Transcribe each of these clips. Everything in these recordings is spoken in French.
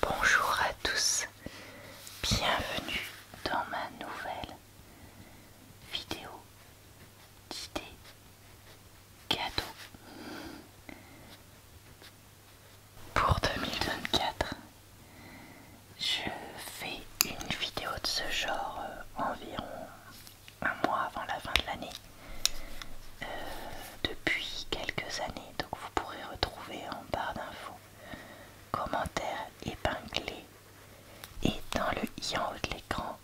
Bonjour à tous, bienvenue dans ma nouvelle vidéo d'idées cadeaux pour 2024. Je fais une vidéo de ce genre euh, environ un mois avant la fin de l'année. Euh, depuis quelques années donc vous pourrez retrouver en barre d'infos commentaires épinglés et dans le i en haut de l'écran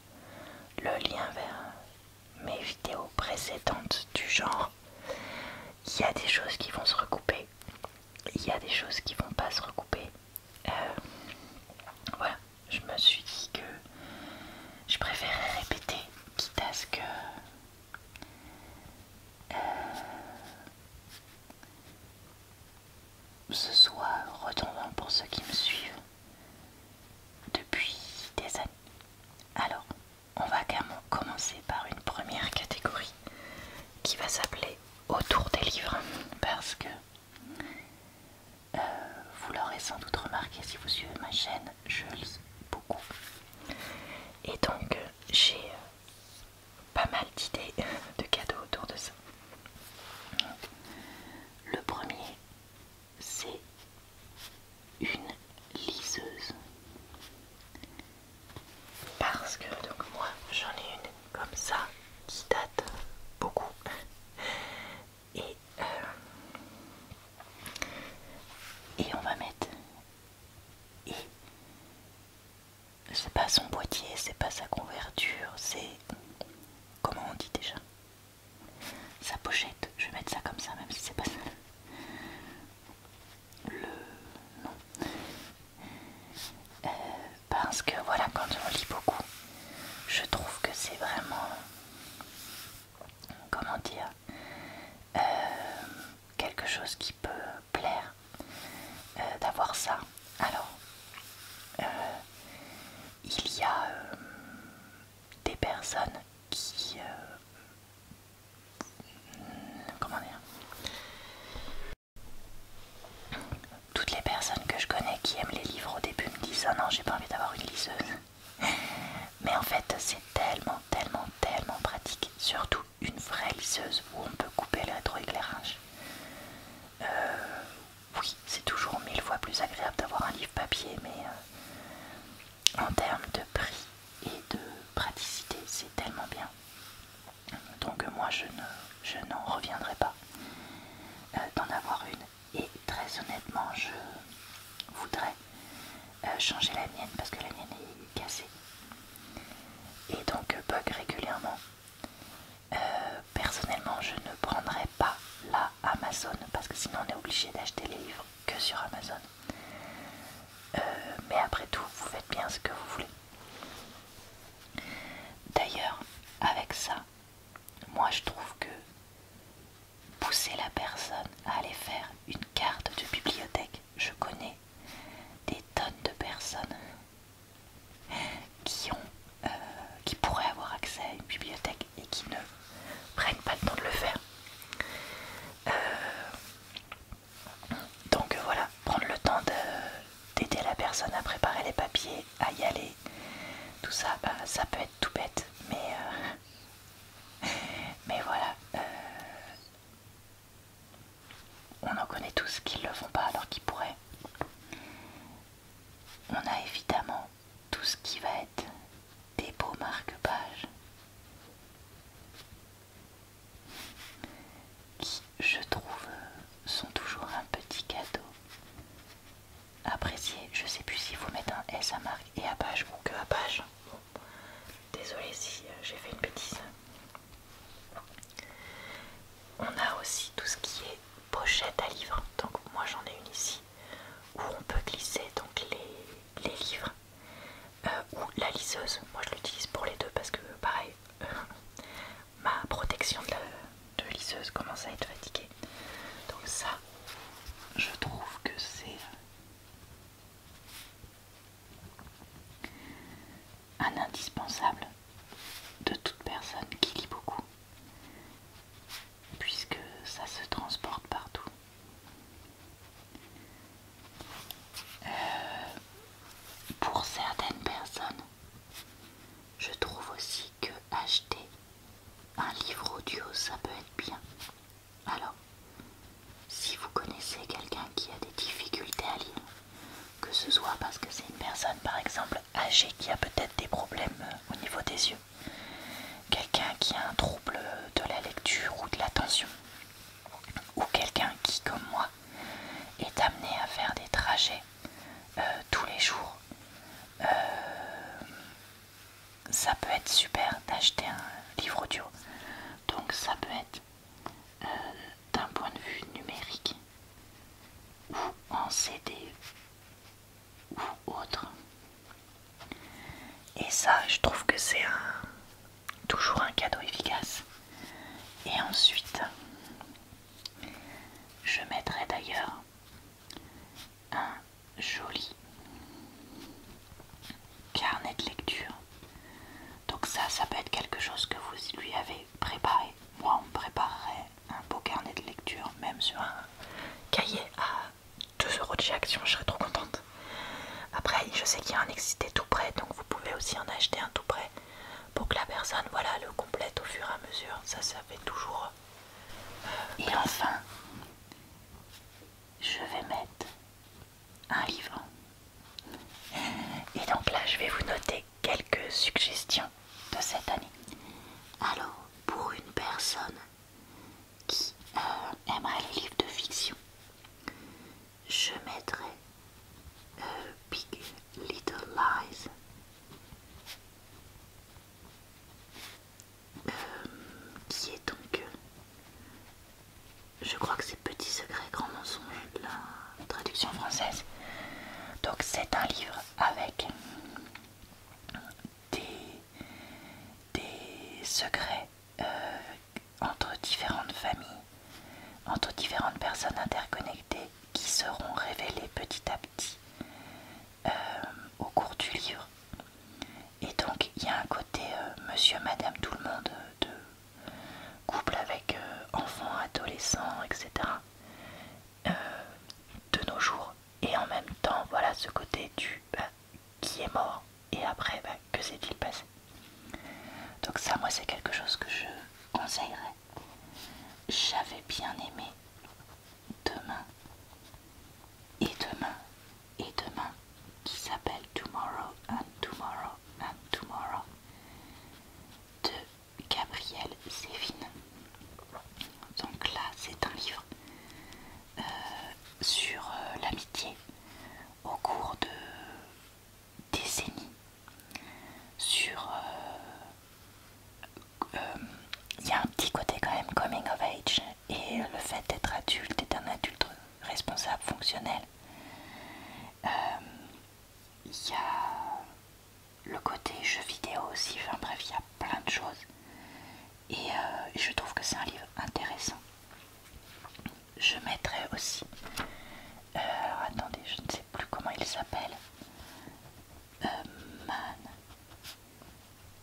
le lien vers mes vidéos précédentes du genre. Il y a des choses qui vont se recouper, il y a des choses qui vont pas se recouper. Euh, voilà, je me suis dit que je préférais répéter, quitte à ce que euh, ce soir, retombant pour ceux qui me suivent depuis des années. Alors, on va commencer par une première catégorie qui va s'appeler Autour des livres parce que euh, vous l'aurez sans doute remarqué si vous suivez ma chaîne, Schulz beaucoup. Et donc euh, j'ai euh, pas mal d'idées de cadeaux autour de ça. Le premier, c'est une liseuse. Parce que donc moi j'en ai une comme ça qui date beaucoup. Et, euh, et on va mettre et c'est pas son boîtier, c'est pas sa couverture c'est. Comment on dit déjà Sa pochette, je vais mettre ça comme ça, même si c'est pas ça. Le. Non. Euh, parce que voilà, quand on lit beaucoup, je trouve que c'est vraiment. Comment dire euh, quelque chose qui peut plaire euh, d'avoir ça. Alors, euh, il y a des personnes qui... comment dire toutes les personnes que je connais qui aiment les livres au début me disent ah non j'ai pas envie d'avoir une liseuse mais en fait c'est tellement tellement, tellement pratique. Surtout une vraie lisseuse où on peut couper le rétroéclairage. Euh, oui, c'est toujours mille fois plus agréable d'avoir un livre papier, mais euh, en termes de prix et de praticité, c'est tellement bien. Donc euh, moi, je n'en reviendrai pas d'en avoir une. Et très honnêtement, je voudrais euh, changer la mienne parce que la mienne est cassée. Et donc euh, bug régulièrement. Euh, personnellement, je ne prendrai pas la Amazon parce que sinon on est obligé d'acheter les livres que sur Amazon. mais après tout, vous faites bien ce que vous voulez. D'ailleurs, avec ça, moi je trouve que pousser la personne à aller faire une carte de bibliothèque je connais des tonnes de personnes qui, ont, euh, qui pourraient avoir accès à une bibliothèque et qui ne prennent pas le temps de le faire. Euh, donc euh, voilà, prendre le temps d'aider la personne à préparer les papiers, à y aller, tout ça, bah, ça peut être tout bête, mais, mais voilà, on en connaît tous qui ne le font pas alors qu'ils pourraient. On a évidemment tout ce qui va être des beaux marque-pages qui, je trouve, sont toujours un petit cadeau. Apprécié, je ne sais plus si vous mettez un S à marque et à page ou que à page. Désolée si euh, j'ai fait une bêtise. On a aussi tout ce qui est pochette à livres. Donc moi j'en ai une ici où on peut glisser donc les, livres euh, ou la lisseuse. Moi je l'utilise pour les deux parce que pareil, ma protection de, de lisseuse commence à être fatiguée. Donc ça, je trouve que c'est euh, un indispensable de toute personne qui lit beaucoup, puisque ça se transporte partout. Euh, pour certaines personnes, je trouve aussi que acheter un livre audio, ça peut être bien. Alors, si vous connaissez quelqu'un qui a des difficultés à lire, que ce soit parce que c'est une personne par exemple âgée qui a peut-être des problèmes euh, au niveau des yeux, quelqu'un qui a un trouble de la lecture ou de l'attention, ou quelqu'un qui, comme moi, est amené à faire des trajets euh, tous les jours, euh, ça peut être super d'acheter un livre audio donc ça peut être euh, d'un point de vue numérique ou en CD ou autre. Et ça, je trouve que c'est toujours un cadeau efficace. Et ensuite, je mettrai d'ailleurs un joli carnet de lecture. Donc ça, ça peut être quelque chose que vous lui avez préparé. Moi, on me préparerait un beau carnet de lecture, même sur un cahier à 2 euros de chez je serais trop contente. Après, je sais qu'il y a un tout près, donc vous pouvez aussi en acheter un tout près pour que la personne, voilà, le complète au fur et à mesure. Ça, ça fait toujours. Euh, et enfin, je vais mettre un livre. Et donc là, je vais vous noter quelques suggestions de cette année. Alors, pour une personne qui euh, aimerait les livres de fiction, je mettrai euh, Big Little Lies. Euh, qui est donc je crois que c'est Petit secret, grand mensonge de la traduction française. Donc c'est un livre avec des, secrets euh, entre différentes familles, entre différentes personnes interconnectées qui seront révélés petit à petit euh, au cours du livre. Et donc il y a un côté euh, monsieur, madame, tout le monde de couple avec euh, enfants, adolescents, etc. Euh, de nos jours. Et en même temps, voilà ce côté du bah, qui est mort et après, bah, que s'est-il passé Donc ça, moi, c'est quelque chose que je conseillerais. J'avais bien aimé demain et demain et demain qui s'appelle Tomorrow and Tomorrow and Tomorrow de Gabrielle Sévine. Donc là c'est un livre euh, sur euh, l'amitié au cours de décennies. Sur euh, il y a un petit côté quand même coming of age et le fait d'être adulte et d'un adulte responsable fonctionnel. Euh, il y a le côté jeu vidéo aussi, enfin bref, il y a plein de choses. Et euh, je trouve que c'est un livre intéressant. Je mettrai aussi... Euh, alors attendez, je ne sais plus comment il s'appelle. man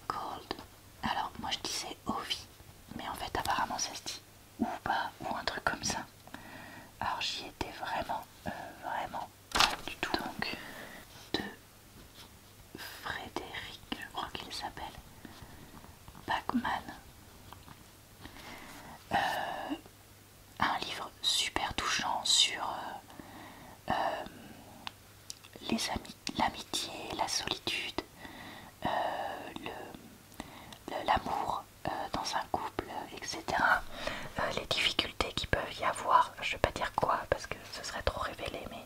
Gold, Alors moi je disais Ovi, mais en fait apparemment ça se dit ou pas, ou un truc comme ça. Alors j'y étais vraiment, euh, vraiment pas du tout. Donc, de Frédéric, je crois qu'il s'appelle, pac euh, un livre super touchant sur euh, les amis, l'amitié, la solitude, le l'amour euh, dans un couple, etc. Euh, les difficultés qui peuvent y avoir, je vais pas dire quoi parce que ce serait trop révélé, mais,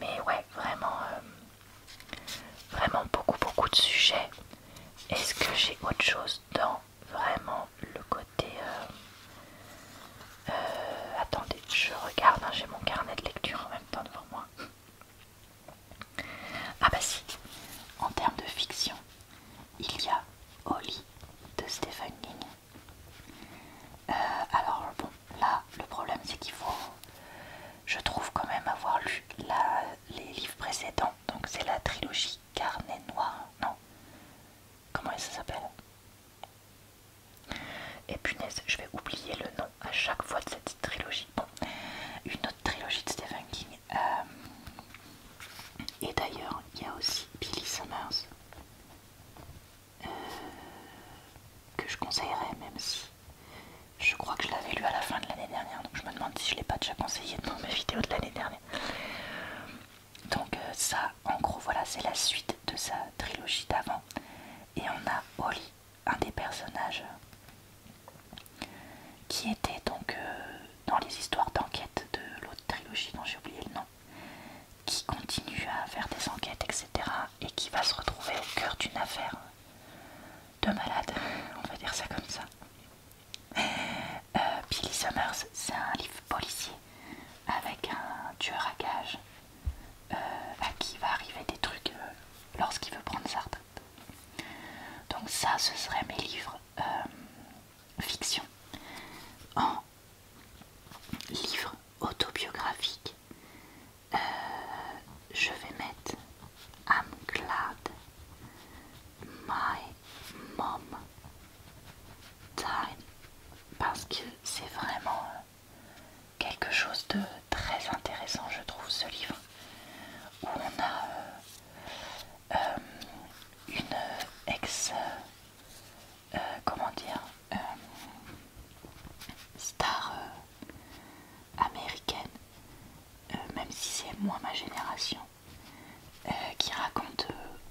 mais ouais, vraiment, euh, vraiment beaucoup, beaucoup de sujets. Est-ce que j'ai autre chose dans vraiment le côté... attendez, je regarde, hein, j'ai mon carnet de lecture en même temps devant moi. Ah bah si, en termes de fiction, il y a Holly de Stephen King. Euh, alors bon, là le problème c'est qu'il faut, je trouve quand même avoir lu les livres précédents, donc c'est la trilogie Carnet Noir, non Comment ça s'appelle Et punaise, je vais oublier le nom à chaque fois de cette trilogie bon, une autre trilogie de Stephen King. Euh, et d'ailleurs, il y a aussi Billy Summers euh, que je conseillerais, même si je crois que je l'avais lu à la fin de l'année dernière. Donc je me demande si je l'ai pas déjà conseillé dans mes vidéos de l'année dernière. Donc euh, ça, en gros, voilà, c'est la suite de sa trilogie d'avant. Et on a Holly un des personnages qui était donc euh, dans les histoires d'enquête de l'autre trilogie dont j'ai oublié le nom, qui continue à faire des enquêtes, etc. et qui va se retrouver au cœur d'une affaire de malade, on va dire ça comme ça. Euh, Billy Summers, c'est un livre policier avec un tueur à gages euh, à qui va arriver des trucs lorsqu'il veut prendre sa donc ça, ce serait mes livres euh, fiction. En livre autobiographique, euh, je vais mettre I'm glad my mom died parce que c'est vraiment euh, quelque chose de très intéressant, je trouve, ce livre, où on a euh, euh, une ex, euh, comment dire, star américaine, même si c'est moins ma génération, qui raconte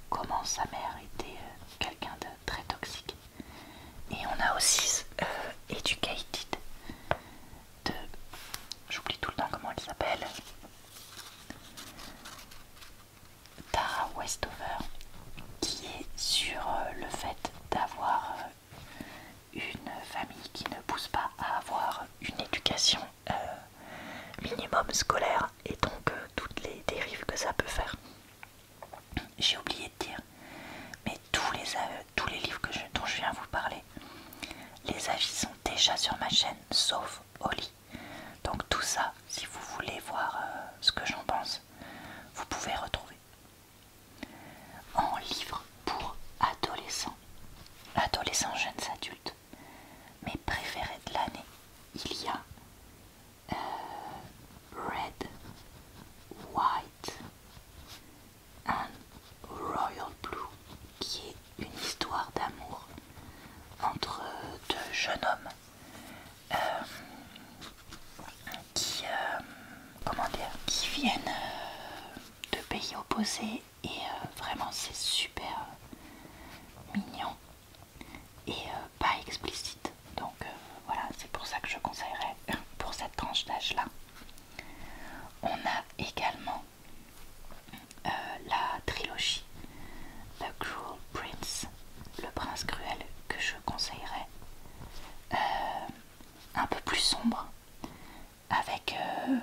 comment sa mère était quelqu'un de très toxique. Et on a aussi Educated, de... J'oublie tout le temps comment elle s'appelle. Tara Westover, qui est sur euh, le fait d'avoir euh, une famille qui ne pousse pas à avoir une éducation euh, minimum scolaire et donc toutes les dérives que ça peut faire. J'ai oublié de dire, mais tous les tous les livres dont je viens vous parler. Les avis sont déjà sur ma chaîne, sauf Oli. Donc tout ça, si vous voulez voir euh, ce que j'en pense, vous pouvez retrouver. En livre pour adolescents, adolescents jeunes adultes, mes préférés de l'année, il y a euh, Red, White, un Royal Blue, qui est une histoire d'amour entre deux jeunes hommes euh, euh, qui, viennent euh, de pays opposés et vraiment c'est super mignon et pas explicite donc voilà c'est pour ça que je conseillerais pour cette tranche d'âge là on a également euh, la trilogie The Cruel Prince, le prince cruel que je conseillerais, euh, un peu plus sombre, avec euh,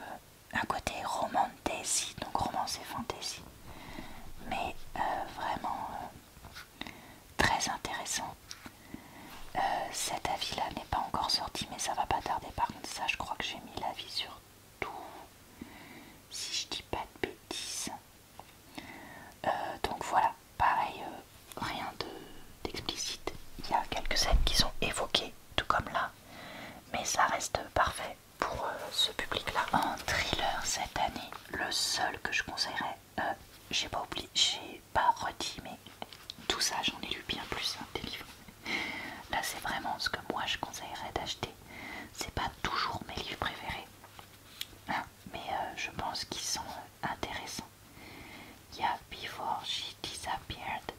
un côté romantaisie, donc romance et fantasy, mais vraiment très intéressant. Euh, cet avis là n'est pas encore sorti mais ça va pas tarder par contre ça je crois que j'ai mis l'avis sur tout si je dis pas de bêtises euh, donc voilà pareil euh, rien d'explicite il y a quelques scènes qui sont évoquées tout comme là mais ça reste parfait pour ce public là un thriller cette année le seul que je conseillerais j'ai pas oublié j'ai pas redit tout ça j'en ai lu bien plus des livres. Là c'est vraiment ce que moi je conseillerais d'acheter. C'est pas toujours mes livres préférés, hein, mais euh, je pense qu'ils sont euh, intéressants. Il y a Before She Disappeared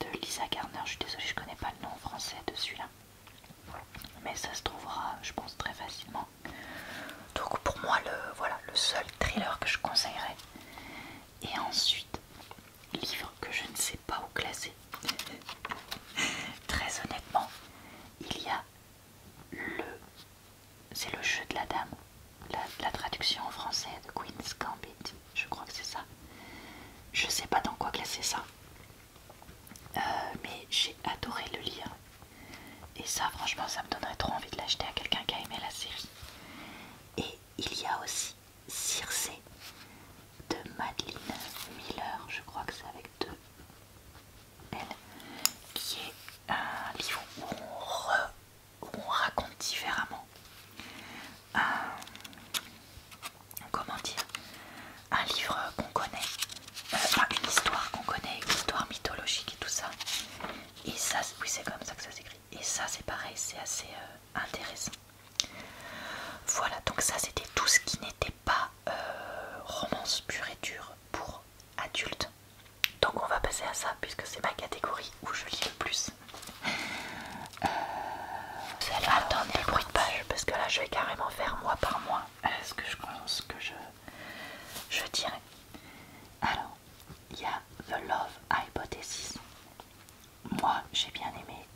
de Lisa Garner. Je suis désolée, je connais pas le nom français de celui-là, mais ça se trouvera, je pense, très facilement. Donc pour moi, voilà le seul thriller que je conseillerais, et ensuite, livre que je ne sais pas où classer. Très honnêtement, il y a le... C'est le jeu de la dame. La, traduction en français de Queen's Gambit. Je crois que c'est ça. Je sais pas dans quoi classer ça. Euh, mais j'ai adoré le lire. Et ça, franchement, ça me donnerait trop envie de l'acheter à quelqu'un qui a aimé la série. Et il y a aussi Circé de Madeleine Miller, je crois que c'est avec deux L, qui est un livre où on, raconte différemment. Euh, comment dire un livre qu'on connaît, euh, enfin une histoire qu'on connaît, une histoire mythologique et tout ça. Et ça, oui c'est comme ça que ça s'écrit. Et ça c'est pareil, c'est assez euh, intéressant. Voilà, donc ça c'était tout ce qui n'était pas euh, romance pure et dure pour adultes. Donc on va passer à ça puisque c'est ma catégorie où je lis le plus. Attendez, vous allez de page parce que là je vais carrément faire mois par mois est ce que je pense que je, je dirais. Alors, il y a The Love Hypothesis moi j'ai bien aimé,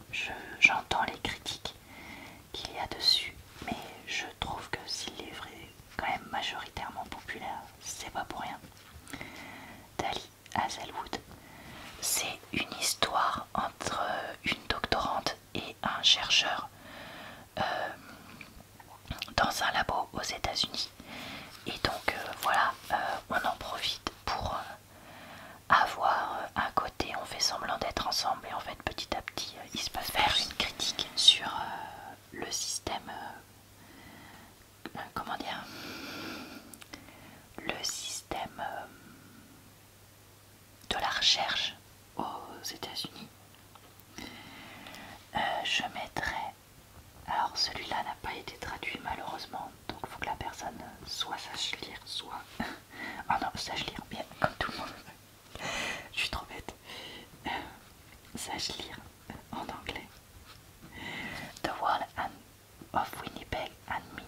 j'entends les critiques qu'il y a dessus, mais je trouve que s'il est vrai, quand même majoritairement populaire, c'est pas pour rien. Dali Hazelwood, c'est une histoire entre une doctorante et un chercheur euh, dans un labo aux États-Unis. Et donc euh, voilà, euh, on en profite pour euh, avoir un côté on fait semblant d'être ensemble et en fait petit à petit euh, il se passe faire une critique sur euh, le système comment dire le système de la recherche aux États-Unis. je mettrai alors celui-là n'a pas été traduit malheureusement, donc il faut que la personne soit sache lire, soit... oh non, sache lire, bien, comme tout le monde. Je suis trop bête. Euh, sache lire en anglais. The World of Winnipeg and Me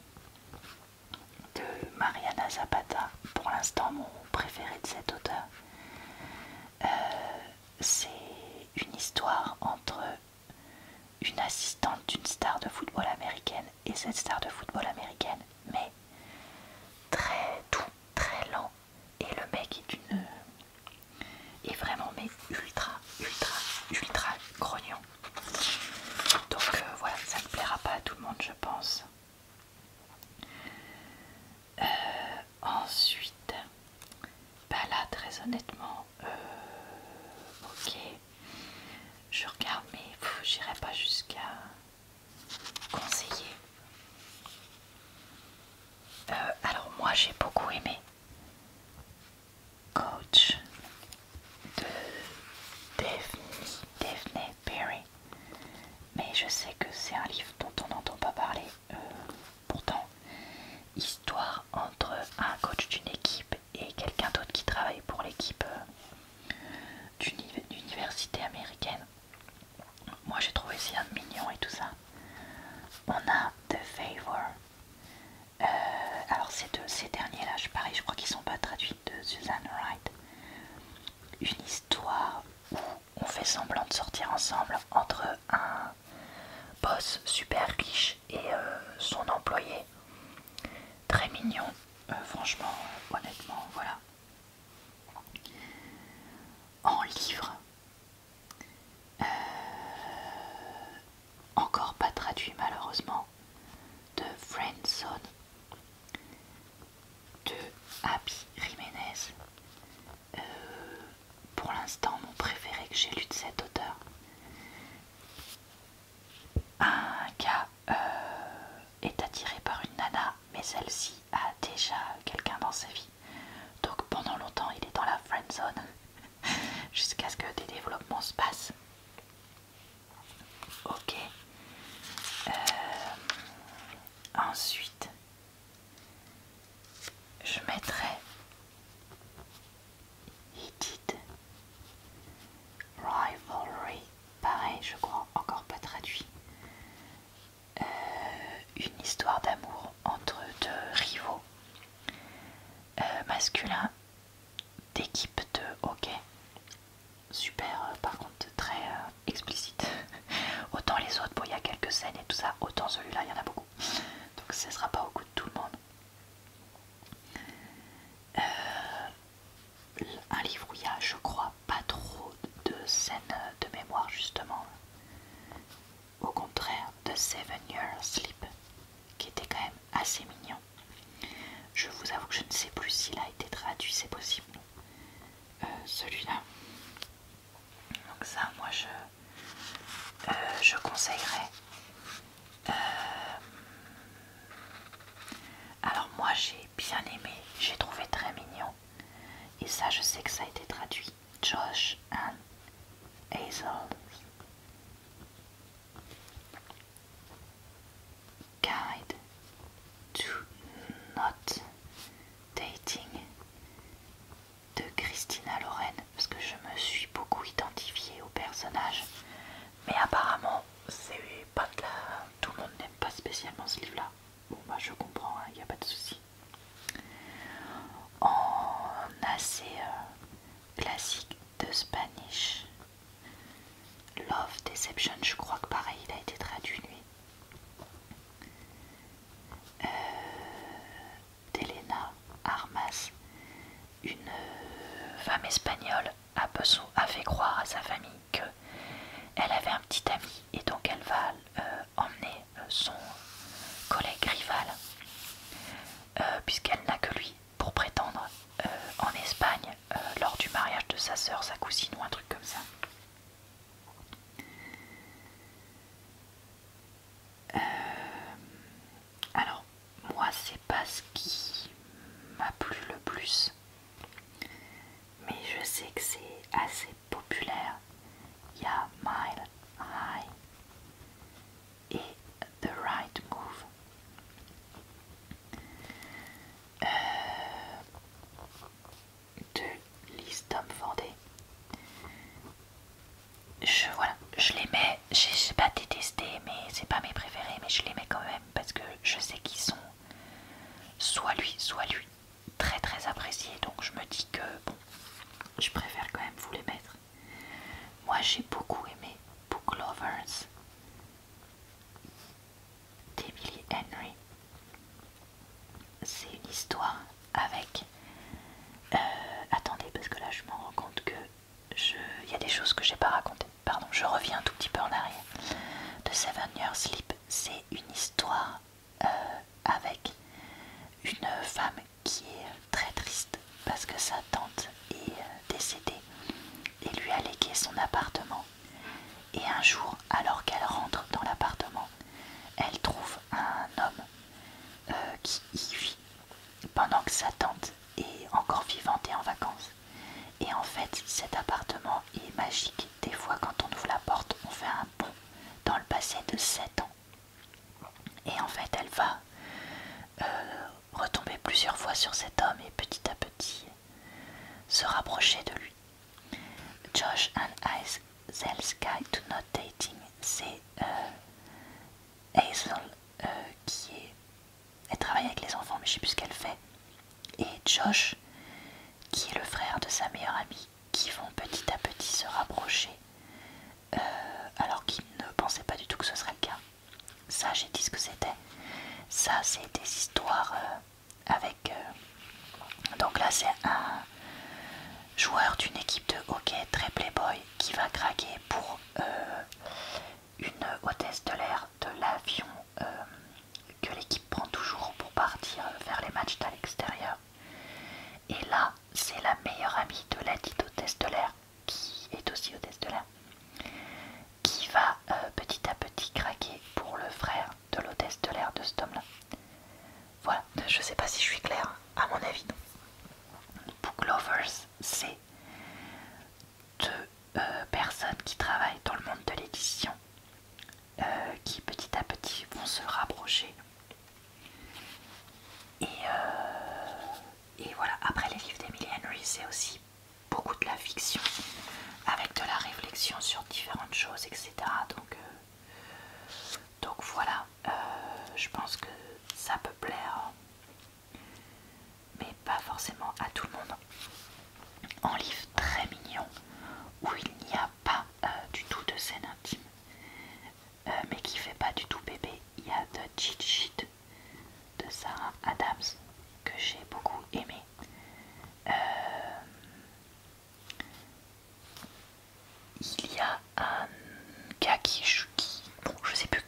de Mariana Zapata, pour l'instant mon préféré de cet auteur. Euh, c'est une histoire entre une assistante d'une star de football américaine et cette star de football américaine mais très doux, très lent et le mec est une est vraiment mais ultra ultra ultra grognon donc euh, voilà ça ne plaira pas à tout le monde je pense euh, ensuite bah là, très honnêtement, euh, ok, je regarde, mais j'irai pas jusqu'à conseiller. Euh, alors moi, j'ai beaucoup aimé Coach de Daphne Perry, mais je sais que c'est un livre dont on n'entend pas parler. Euh, pourtant, histoire entre un coach d'une équipe et quelqu'un d'autre qui travaille pour l'équipe euh, d'université d'une université américaine. Moi j'ai trouvé ça mignon et tout ça. On a The Favor. Euh, alors ces de ces derniers là, je, parie, je crois qu'ils sont pas traduits de Susan Wright. Une histoire où on fait semblant de sortir ensemble entre un boss super riche et euh, son employé. Très mignon, euh, franchement, euh, honnêtement, voilà. En livre, encore pas traduit malheureusement, de Friendzone de Abby Jiménez. pour l'instant, mon préféré que j'ai lu de cet auteur. Un gars euh, est attiré par une nana, mais celle-ci a déjà quelqu'un dans sa vie. Donc pendant longtemps, il est dans la friend zone jusqu'à ce que des développements se passent. Ok. Euh, ensuite, je mettrai Rivalry, pareil, je crois, encore pas traduit. Euh, une histoire d'amour entre deux rivaux euh, masculins d'équipe de hockey. Super, euh, par contre, très explicite. autant les autres, bon, il y a quelques scènes et tout ça, autant celui-là, il y en a beaucoup. Donc, ce sera pas au goût de tout le monde. Euh, un livre où il y a, je crois, pas trop de scènes de mémoire, justement. Au contraire de Seven Years Sleep, qui était quand même assez mignon. Je vous avoue que je ne sais plus s'il a été traduit, c'est possible. Euh, celui-là. Donc ça, moi, je, euh, je conseillerais. Euh, alors moi j'ai bien aimé, j'ai trouvé très mignon. Et ça je sais que ça a été traduit. Josh and Hazel. Guide to not dating de Christina Loren parce que je me suis beaucoup identifiée au personnage. Mais apparemment, c'est pas de tout le monde n'aime pas spécialement ce livre-là. Bon bah je comprends, il hein, n'y a pas de souci. En assez euh, classique de Spanish, Love Deception, je crois que pareil, il a été traduit lui. Euh, d'Elena Armas, une euh, femme espagnole, a fait croire à sa famille qu'elle avait un petit ami et donc elle va euh, emmener euh, son collègue rival, puisqu'elle n'a que lui pour prétendre en Espagne lors du mariage de sa sœur, sa cousine ou un truc comme ça. alors, moi c'est pas ce qui m'a plu le plus mais je sais que c'est assez populaire il y a Mile High et The Right Move euh, de Liz Tom je, voilà, je les mets, j'ai pas détester mais c'est pas mes préférés, mais je les mets quand même parce que je sais qu'ils sont soit lui, soit lui, très très appréciés. Donc je me dis que bon, je préfère quand même vous les mettre. Moi j'ai beaucoup aimé Book Lovers d'Emily Henry. C'est une histoire avec. Euh, attendez, parce que là je me rends compte que il y a des choses que j'ai pas racontées. Pardon, je reviens un tout petit peu en arrière. De Seven Years Sleep, c'est une histoire euh, avec une femme qui est très triste parce que sa tante est euh, décédée et lui a légué son appartement. Et un jour, alors qu'elle rentre dans l'appartement, elle trouve un homme euh, qui y vit pendant que sa tante et encore vivante et en vacances. Et en fait, cet appartement est magique. Des fois, quand on ouvre la porte, on fait un bond dans le passé de 7 ans. Et en fait, elle va euh, retomber plusieurs fois sur cet homme et petit à petit se rapprocher de lui. Josh and sky do not dating, c'est euh, Hazel euh, qui est elle travaille avec les enfants, mais je sais plus ce qu'elle fait. Et Josh, qui est le frère de sa meilleure amie, qui vont petit à petit se rapprocher, euh, alors qu'il ne pensait pas du tout que ce serait le cas. Ça, j'ai dit ce que c'était. Ça, c'est des histoires euh, avec. Euh, donc là, c'est un joueur d'une équipe de hockey très playboy qui va craquer pour une hôtesse de l'air de l'avion euh, que l'équipe prend toujours pour partir vers les matchs à l'extérieur. Et là, c'est la meilleure amie de la dite hôtesse de l'air, qui est aussi hôtesse de l'air, qui va euh, petit à petit craquer pour le frère de l'hôtesse de l'air de cet homme-là. Voilà, je sais pas si je suis claire, à mon avis Book c'est de euh, personnes qui travaillent dans le monde de l'édition euh, qui petit à petit vont se rapprocher. Et, euh, et voilà, après les livres d'Emily Henry, c'est aussi beaucoup de la fiction avec de la réflexion sur différentes choses, etc. Donc, donc voilà, je pense que ça peut plaire mais pas forcément à tout le monde. En livre très mignon où il n'y a pas euh, du tout de scène intime, euh, mais qui fait pas du tout bébé. Il y a The Cheat Sheet de Sarah Adams que j'ai beaucoup aimé. Euh, il y a un gars qui, qui bon, je sais plus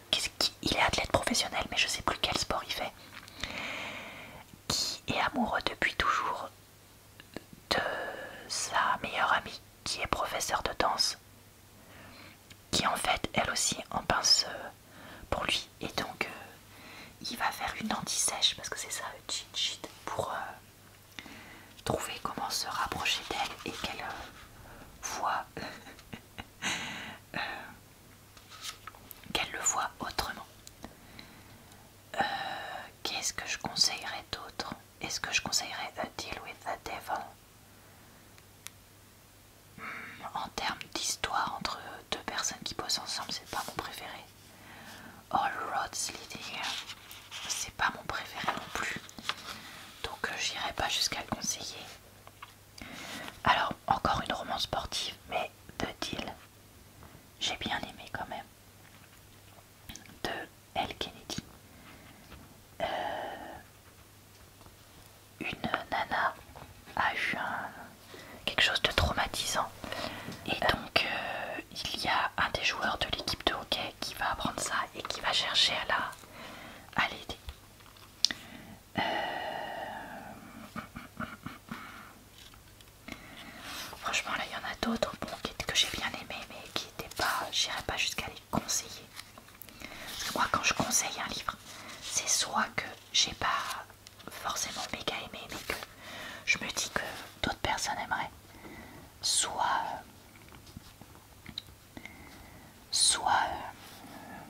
il est athlète professionnel, mais je sais plus quel sport il fait, qui est amoureux depuis toujours de sa meilleure amie, qui est professeur de danse, qui en fait elle aussi en pince euh, pour lui, et donc euh, il va faire une anti-sèche parce que c'est ça le cheat sheet pour euh, trouver comment se rapprocher d'elle et qu'elle voit. Euh, qu'elle le voit autrement. Euh, qu'est-ce que je conseillerais d'autre Est-ce que je conseillerais A Deal with the Devil hmm, En termes d'histoire entre deux personnes qui posent ensemble, c'est pas mon préféré. All Roads Leading, c'est pas mon préféré non plus. Donc j'irais euh, j'irai pas jusqu'à le conseiller. Alors, encore une romance sportive, mais de Deal. J'ai bien aimé quand même. De L. Kennedy. Euh, une nana a eu quelque chose de traumatisant. Et euh. donc, euh, il y a un des joueurs de l'équipe de hockey qui va apprendre ça et qui va chercher à l'aider. La, à euh, franchement, là, il y en a d'autres que j'ai bien aimé, mais qui n'étaient pas. J'irai pas jusqu'à les conseiller. Parce que moi, quand je conseille un livre, c'est soit que j'ai pas forcément méga aimé, mais que je me dis que d'autres personnes aimeraient, soit soit euh,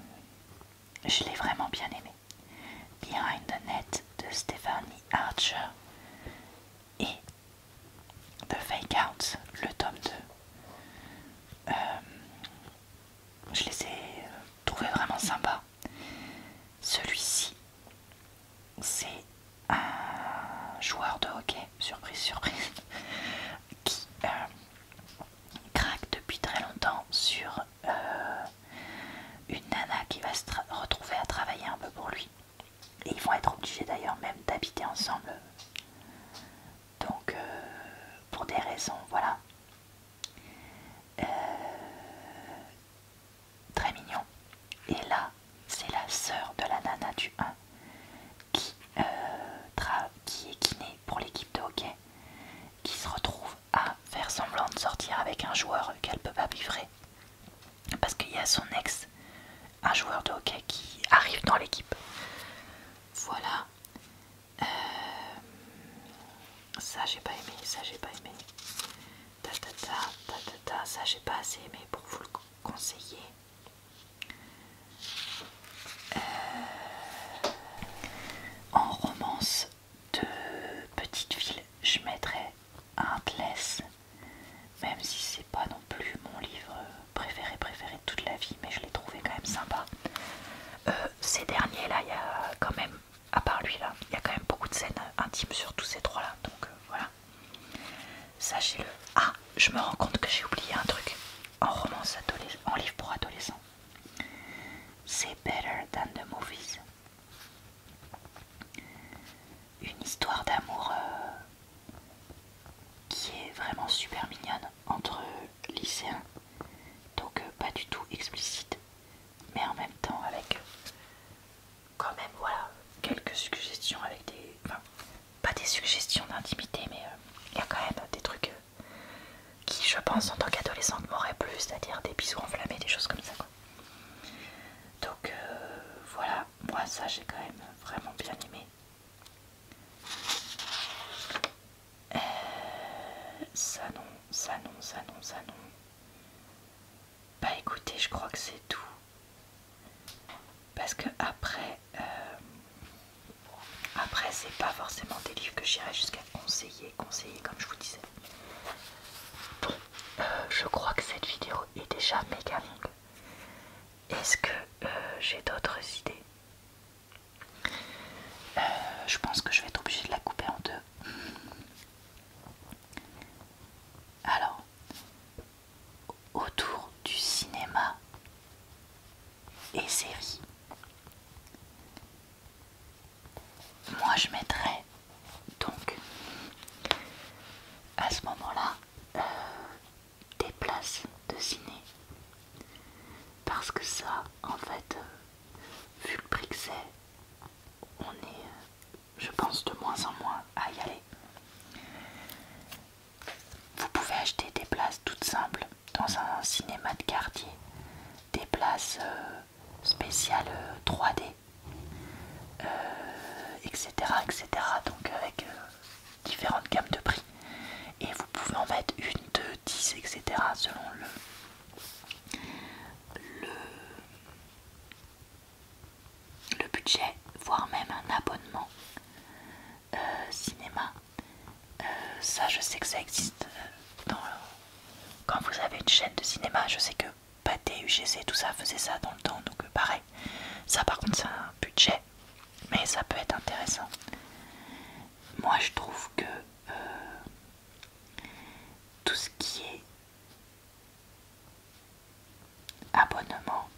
je l'ai vraiment bien aimé Behind the Net de Stephanie Archer et The Fake Out le tome 2 euh, je les ai trouvés vraiment sympas celui-ci c'est un joueur de hockey surprise surprise qui euh, craque depuis très longtemps sur euh, une nana qui va se retrouver à travailler un peu pour lui. Et ils vont être obligés d'ailleurs même d'habiter ensemble. Donc euh, pour des raisons, voilà. Euh, très mignon. Et là, c'est la sœur de la nana du 1 qui, qui est kiné pour l'équipe de hockey qui se retrouve à faire semblant de sortir avec un joueur qu'elle peut pas vivrer parce qu'il y a son ex, un joueur de hockey qui arrive dans l'équipe. Voilà. Euh, ça j'ai pas aimé, ça j'ai pas aimé. ça j'ai pas assez aimé pour vous le conseiller. Euh, en romance de petite ville, je mettrais tless, même si c'est pas non plus mon livre préféré préféré de toute la vie, mais je l'ai trouvé quand même sympa. Euh, ces derniers là, il y a quand même, à part lui là, il y a quand même beaucoup de scènes intimes sur tous ces trois là, donc euh, voilà. Sachez-le. Ah, je me rends compte que j'ai oublié un truc en romance en livre pour adolescents. C'est Better Than the Movies. Une histoire d'amour euh, qui est vraiment super mignonne entre lycéens. Donc euh, pas du tout explicite, mais en même temps avec quand même voilà quelques suggestions avec des... pas des suggestions d'intimité, mais euh, il y a quand même des trucs qui, je pense, en tant qu'adolescente, m'aurait plu, c'est-à-dire des bisous enflammés, des choses comme ça. Quoi. Donc euh, voilà, moi ça j'ai quand même vraiment bien aimé. Euh, ça non, ça non, ça non, ça non. Bah écoutez, je crois que c'est tout. Parce que après, euh, après, c'est pas forcément des livres que j'irai jusqu'à conseiller, conseiller comme je vous disais. Bon, euh, je crois que cette vidéo est déjà méga longue. Est-ce que euh, j'ai d'autres idées euh, Je pense que je vais être obligée de la couper en deux. Alors, autour du cinéma, et série. Moi je mettrais donc à ce moment-là euh, des places de ciné parce que ça en fait euh, vu le prix c'est on est euh, je pense de moins en moins à y aller. Vous pouvez acheter des places toutes simples dans un cinéma de quartier des places euh, spéciales 3D, etc., etc. Donc avec euh, différentes gammes de prix. Et vous pouvez en mettre une, deux, dix, etc. selon le, le budget, voire même un abonnement. Euh, cinéma. Euh, ça, je sais que ça existe. Euh, quand vous avez une chaîne de cinéma, je sais que Pathé, UGC, tout ça faisait ça dans le temps, donc pareil. Ça, par contre, c'est un budget, mais ça peut être intéressant. Moi, je trouve que tout ce qui est abonnement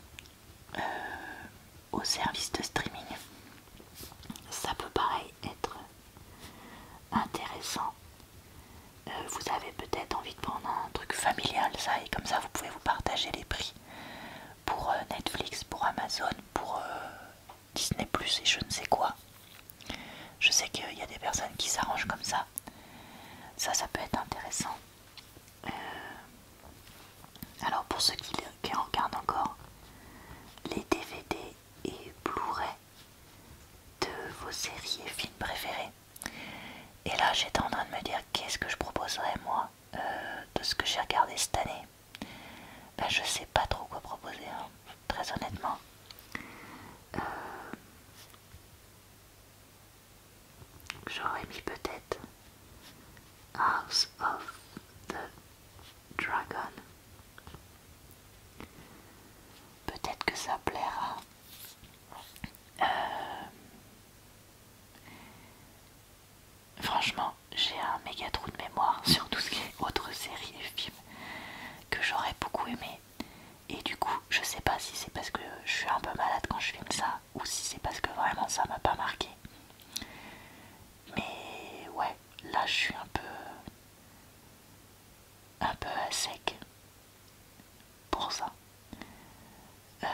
au service de streaming ça peut pareil être intéressant. Euh, vous avez peut-être envie de prendre un truc familial, ça, et comme ça vous pouvez vous partager les prix pour euh, Netflix, pour Amazon, pour euh, Disney Plus et je ne sais quoi. Je sais qu'il y a des personnes qui s'arrangent comme ça. Ça, ça peut être intéressant. Alors pour ceux qui regardent encore les DVD et Blu-ray de vos séries et films préférés. Et là j'étais en train de me dire qu'est-ce que je proposerais moi euh, de ce que j'ai regardé cette année. Ben, je sais pas trop quoi proposer, hein, très honnêtement. Euh, j'aurais mis peut-être House of the Dragon. Peut-être que ça plaira. Euh, franchement, j'ai un méga trou de mémoire sur tout ce qui est autres séries et films que j'aurais beaucoup aimé. Et du coup, je sais pas si c'est parce que je suis un peu malade quand je filme ça ou si c'est parce que vraiment ça m'a pas marqué. Mais ouais, là je suis un peu un peu à sec pour ça euh,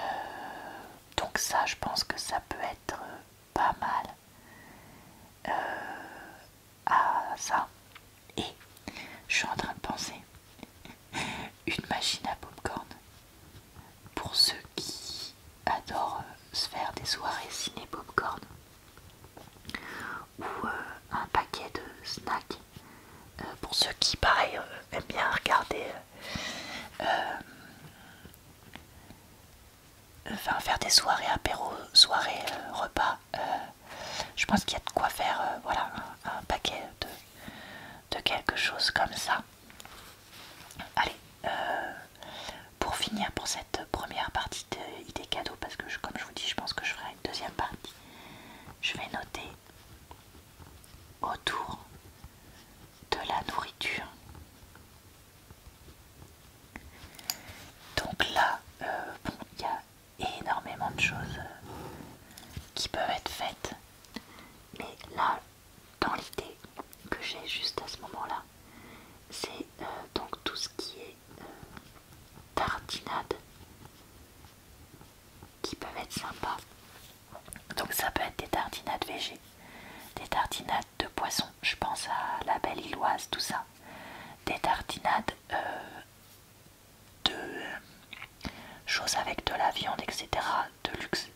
donc ça je pense que ça peut être pas mal euh, à ça et je suis en train de penser une machine à popcorn pour ceux qui adorent se faire des soirées ciné popcorn ou euh, un paquet de snacks euh, pour ceux qui pareil euh, aiment bien regarder enfin, faire des soirées apéro soirées repas je pense qu'il y a de quoi faire voilà un, paquet de, de quelque chose comme ça allez euh, pour finir pour cette première partie d'idées cadeaux parce que comme je vous dis je pense que je ferai une deuxième partie je vais noter autour de la nourriture donc là euh, il y a énormément de choses euh, qui peuvent être faites mais là dans l'idée que j'ai juste à ce moment là c'est euh, donc tout ce qui est euh, tartinades qui peuvent être sympas. Donc ça peut être des tartinades végé, des tartinades de poisson, je pense à la belle illoise, tout ça. Des tartinades euh, de choses avec de la viande, etc. de luxe.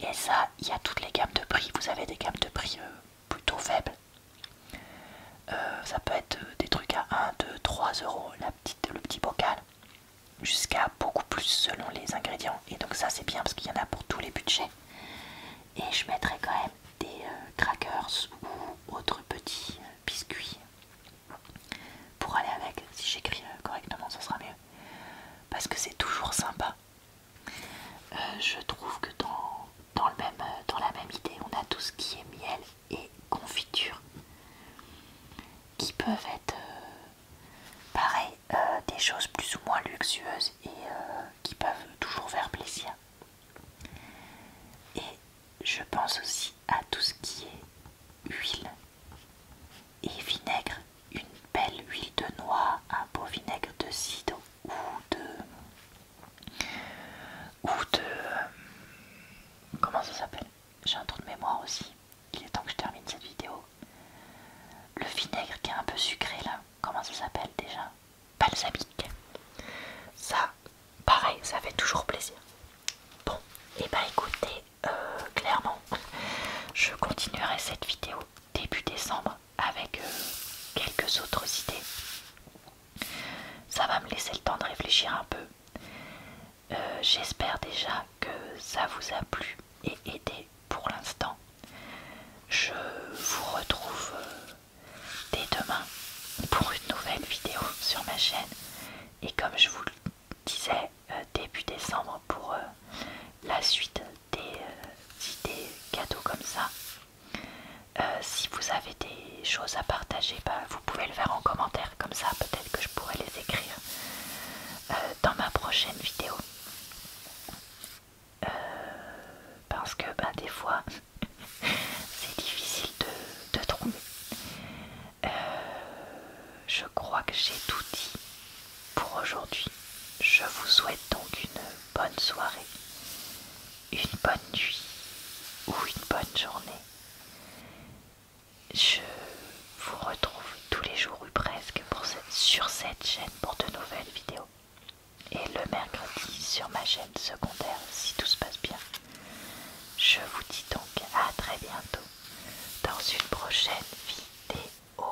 Et ça, il y a toutes les gammes de prix. Vous avez des gammes de prix plutôt faibles. Euh, ça peut être euh, des trucs à 1, 2, 3 euros le petit bocal jusqu'à beaucoup plus selon les ingrédients et donc ça c'est bien parce qu'il y en a pour tous les budgets et je mettrai quand même des euh, crackers ou autres petits biscuits pour aller avec si j'écris correctement ça sera mieux parce que c'est toujours sympa euh, je trouve que dans, le euh, dans la même idée, on a tout ce qui est miel et confiture qui peuvent être euh, pareil, des choses plus ou moins luxueuses et qui peuvent toujours faire plaisir. Et je pense aussi à tout ce qui est huile et vinaigre, une belle huile de noix, un beau vinaigre de cidre ou de ou de... Euh, comment ça s'appelle J'ai un trou de mémoire aussi. Il est temps que je termine cette vidéo. Le vinaigre qui est un peu sucré là, comment ça s'appelle déjà Balsamique. Ça, pareil, ça fait toujours plaisir. Bon, et eh bah ben, écoutez, euh, clairement, je continuerai cette vidéo début décembre avec euh, quelques autres idées. Ça va me laisser le temps de réfléchir un peu. Euh, j'espère déjà que ça vous a plu et aidé pour l'instant. Je vous retrouve euh, dès demain pour une nouvelle vidéo sur ma chaîne. Et comme je vous le disais début décembre pour la suite des idées cadeaux comme ça. Euh, si vous avez des choses à partager, ben, vous pouvez le faire en commentaire, comme ça peut-être que je pourrais les écrire euh, dans ma prochaine vidéo. Euh, parce que ben, des fois, c'est difficile de, trouver. je crois que j'ai tout dit pour aujourd'hui. Je vous souhaite donc une bonne soirée, une bonne nuit ou une bonne journée. Je vous retrouve tous les jours ou presque sur cette chaîne pour de nouvelles vidéos. Et le mercredi sur ma chaîne secondaire si tout se passe bien. Je vous dis donc à très bientôt dans une prochaine vidéo.